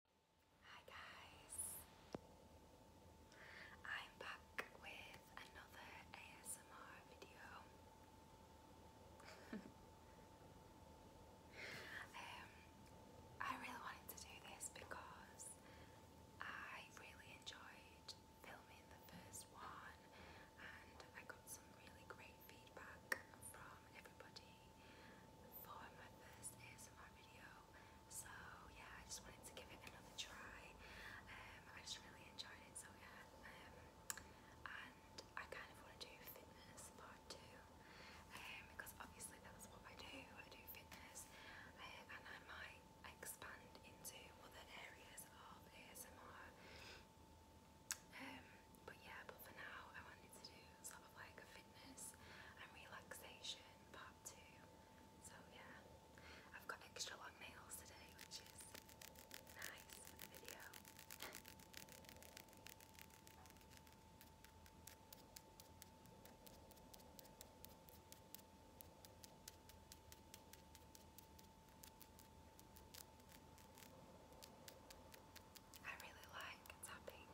Hi guys, I'm back with another ASMR video. Um, I really wanted to do this because I really enjoyed filming the first one and I got some really great feedback from everybody for my first ASMR video. So yeah, I just wanted to give it another try. Um, I just really enjoyed it. So yeah, um, and I kind of want to do fitness part two um, because obviously that's what I do. I do fitness, um, and I might expand into other areas of ASMR. Um, but yeah, but for now, I wanted to do sort of like a fitness and relaxation part two. So yeah, I've got extra long nails today, which is nice video. I really like tapping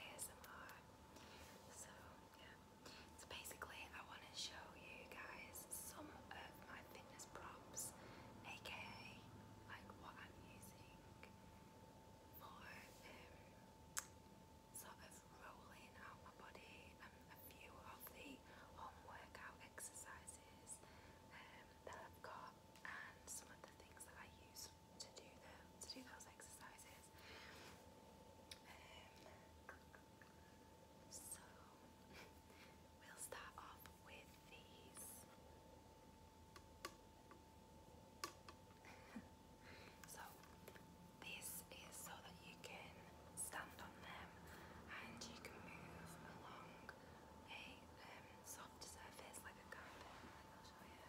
ASMR. So, yeah. So basically, I want to show you guys some of my fitness props, aka like what I'm using for um, sort of rolling out my body and um, a few of the home workout exercises um, that I've got and some of the things that I use to do those exercises. Um, so we'll start off with these. so this is so that you can stand on them and you can move along a um, soft surface like a carpet. you.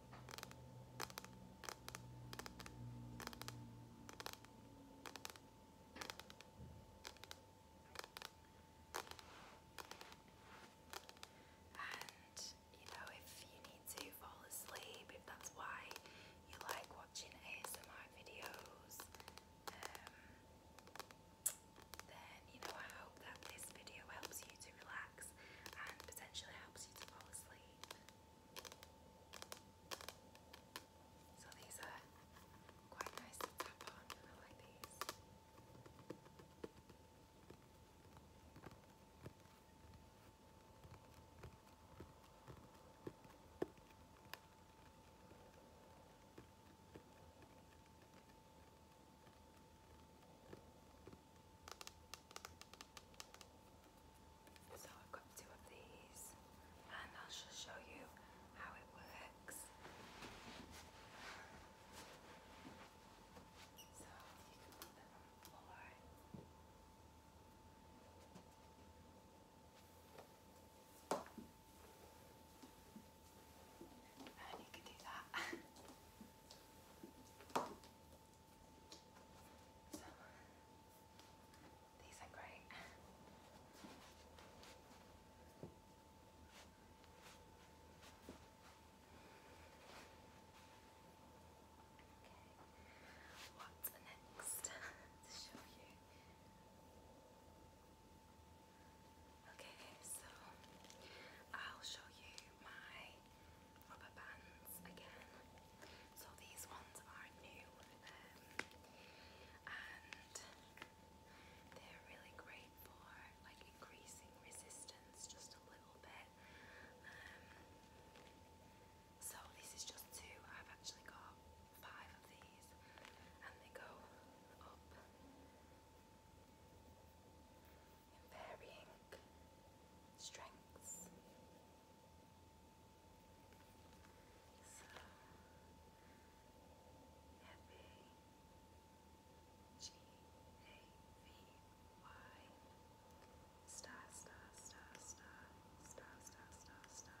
And you know, if you need to fall asleep, if that's why you like watching ASMR videos, um, then you know, I hope that this video helps you to relax and potentially helps you to fall asleep. So these are quite nice to tap on. I like these. So I've got two of these and I'll just show you how it works. So you can put them on the floor. And you can do that. So, these are great. Okay, what's next to show you? Okay, so I'll show you my rubber bands again. So these ones are new um, and they're really great for like increasing resistance just a little bit. Um, so this is just two. I've actually got five of these and they go up varying strengths. So F A G A V Y star star star star star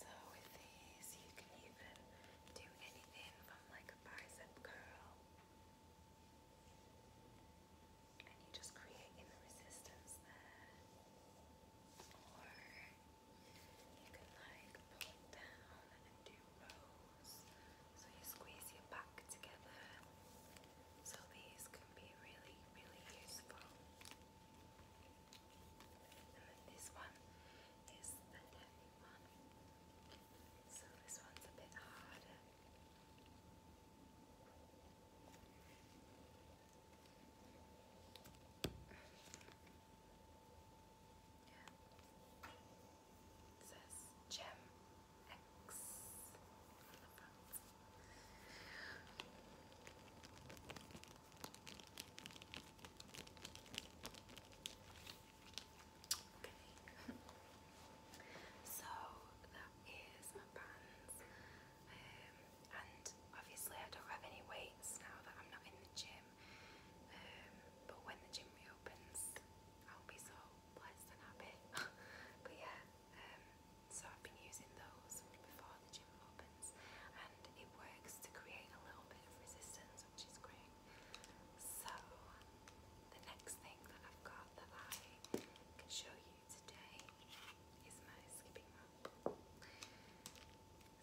So with these, you can even do anything from like a bicep curl, and you just creating resistance there, or you can like pull down and do rows. So you squeeze your back together. So these can be really, really useful. And then this one is the neck one. So this one's a bit harder. Yeah. It says Gem X on the front. Okay. so that is my bands. Um, and obviously I don't have any weights now that I'm not in the gym time. Um, but when the gym reopens, I'll be so blessed and happy. but yeah, um, so I've been using those before the gym opens, and it works to create a little bit of resistance, which is great. So the next thing that I've got that I can show you today is my skipping rope. So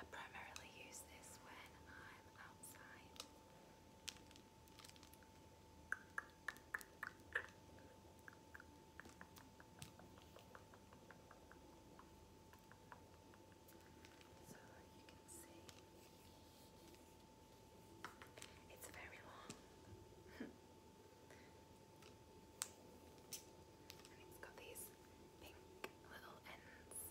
I primarily use this when I'm outside. So you can see it's very long. And it's got these pink little ends. It's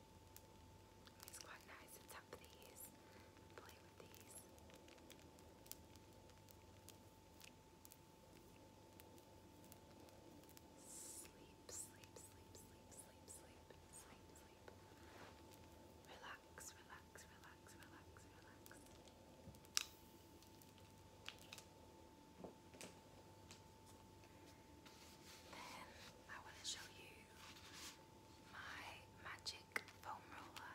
It's quite nice to tap these, play with these. Sleep, sleep, sleep, sleep, sleep, sleep, sleep, sleep. Relax, relax, relax, relax, relax. Then I want to show you my magic foam roller.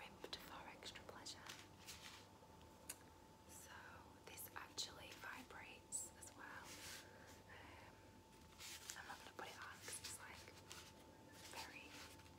Ripped for extra pleasure. So this actually vibrates as well. Um, I'm not going to put it on because it's like very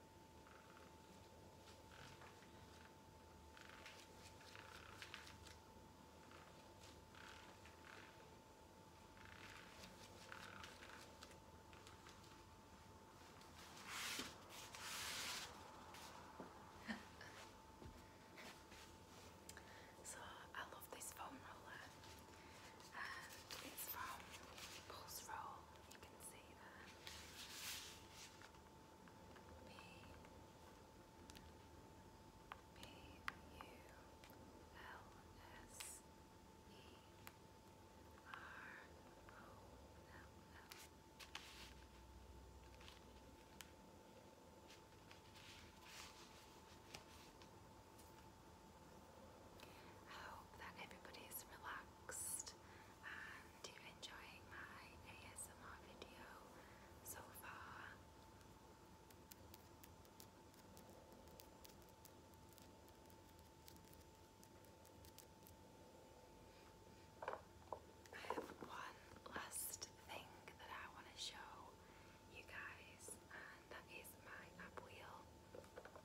so I love this foam roller and it's from Pulse Roll you can see that. P P U L S E R O L L. Now, I hope that everybody is relaxed and you're enjoying my ASMR video so far. I have one last thing that I want to show you guys, and that is my app wheel.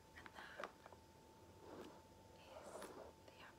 And that is the app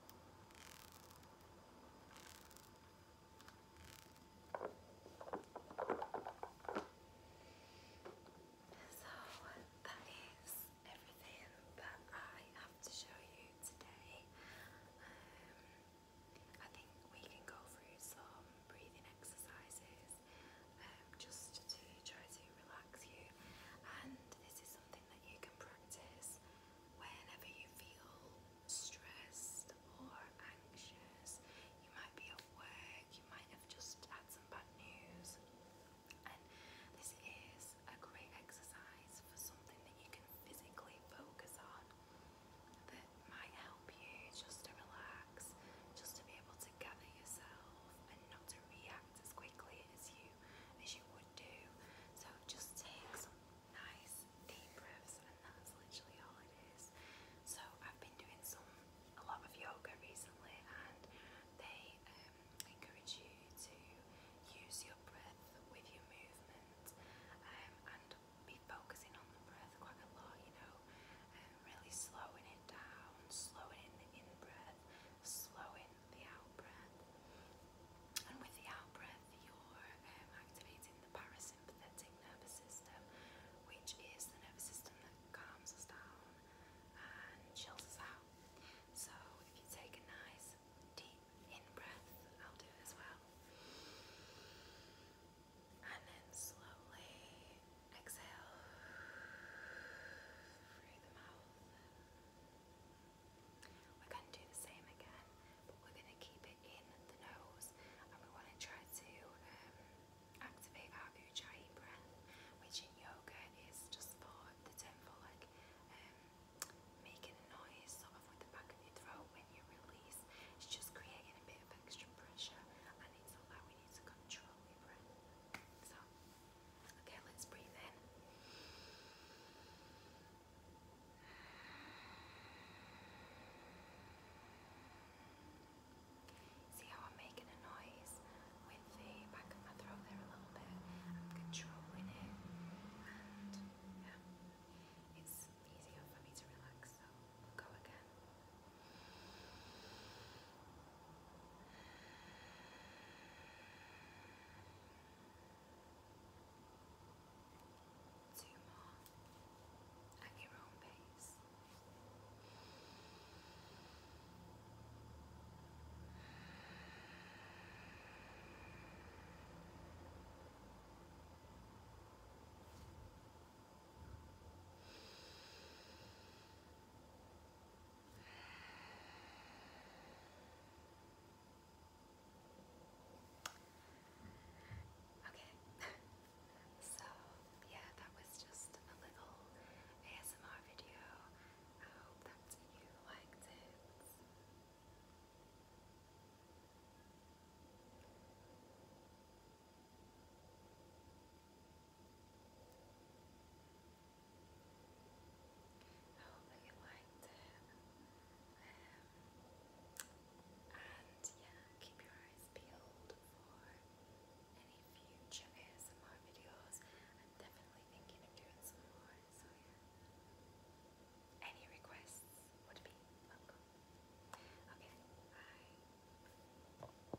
So that is everything that I have to show you today. Um, I think we can go through some breathing exercises um, just to try to relax you. And this is something something that you can practice whenever you feel stressed or anxious. You might be at work, you might have just had some bad news, and this is a great exercise for something that you can physically focus on that might help you just to relax, just to be able to gather yourself and not to react as quickly as you as you would do. So just take some nice deep breaths, and that's literally all it is. So I've been doing some a lot of yoga recently, and they um, encourage you to use your breath with your movement um, and be focusing on the breath quite a lot. You know, really slowing it down, slowing in the in breath slowing the out And with the out you're um, activating the parasympathetic nervous system, which is the nervous system that calms us down and chills us out. So if you take a nice deep in breath, I'll do as well. And then slowly exhale through the mouth. We're going to do the same again, but we're going to keep it in the nose and we want to try to um, activate our ujjayi breath, which in yoga is just for the term like um, making a noise sort of with the back of your throat when you release. It's just creating a bit of extra pressure and it's allowing you to control your breath. So Okay, let's breathe in. See how I'm making a noise with the back of my throat there a little bit. I'm controlling it, and yeah, it's easier for me to relax. So go again. Two more at your own pace. One more. Okay. so, yeah, that was just a little ASMR video. I hope that you liked it. I hope you liked it. and yeah, keep your eyes peeled for any future ASMR videos. I'm definitely thinking of doing some more, so yeah. Any requests would be welcome. Okay, bye.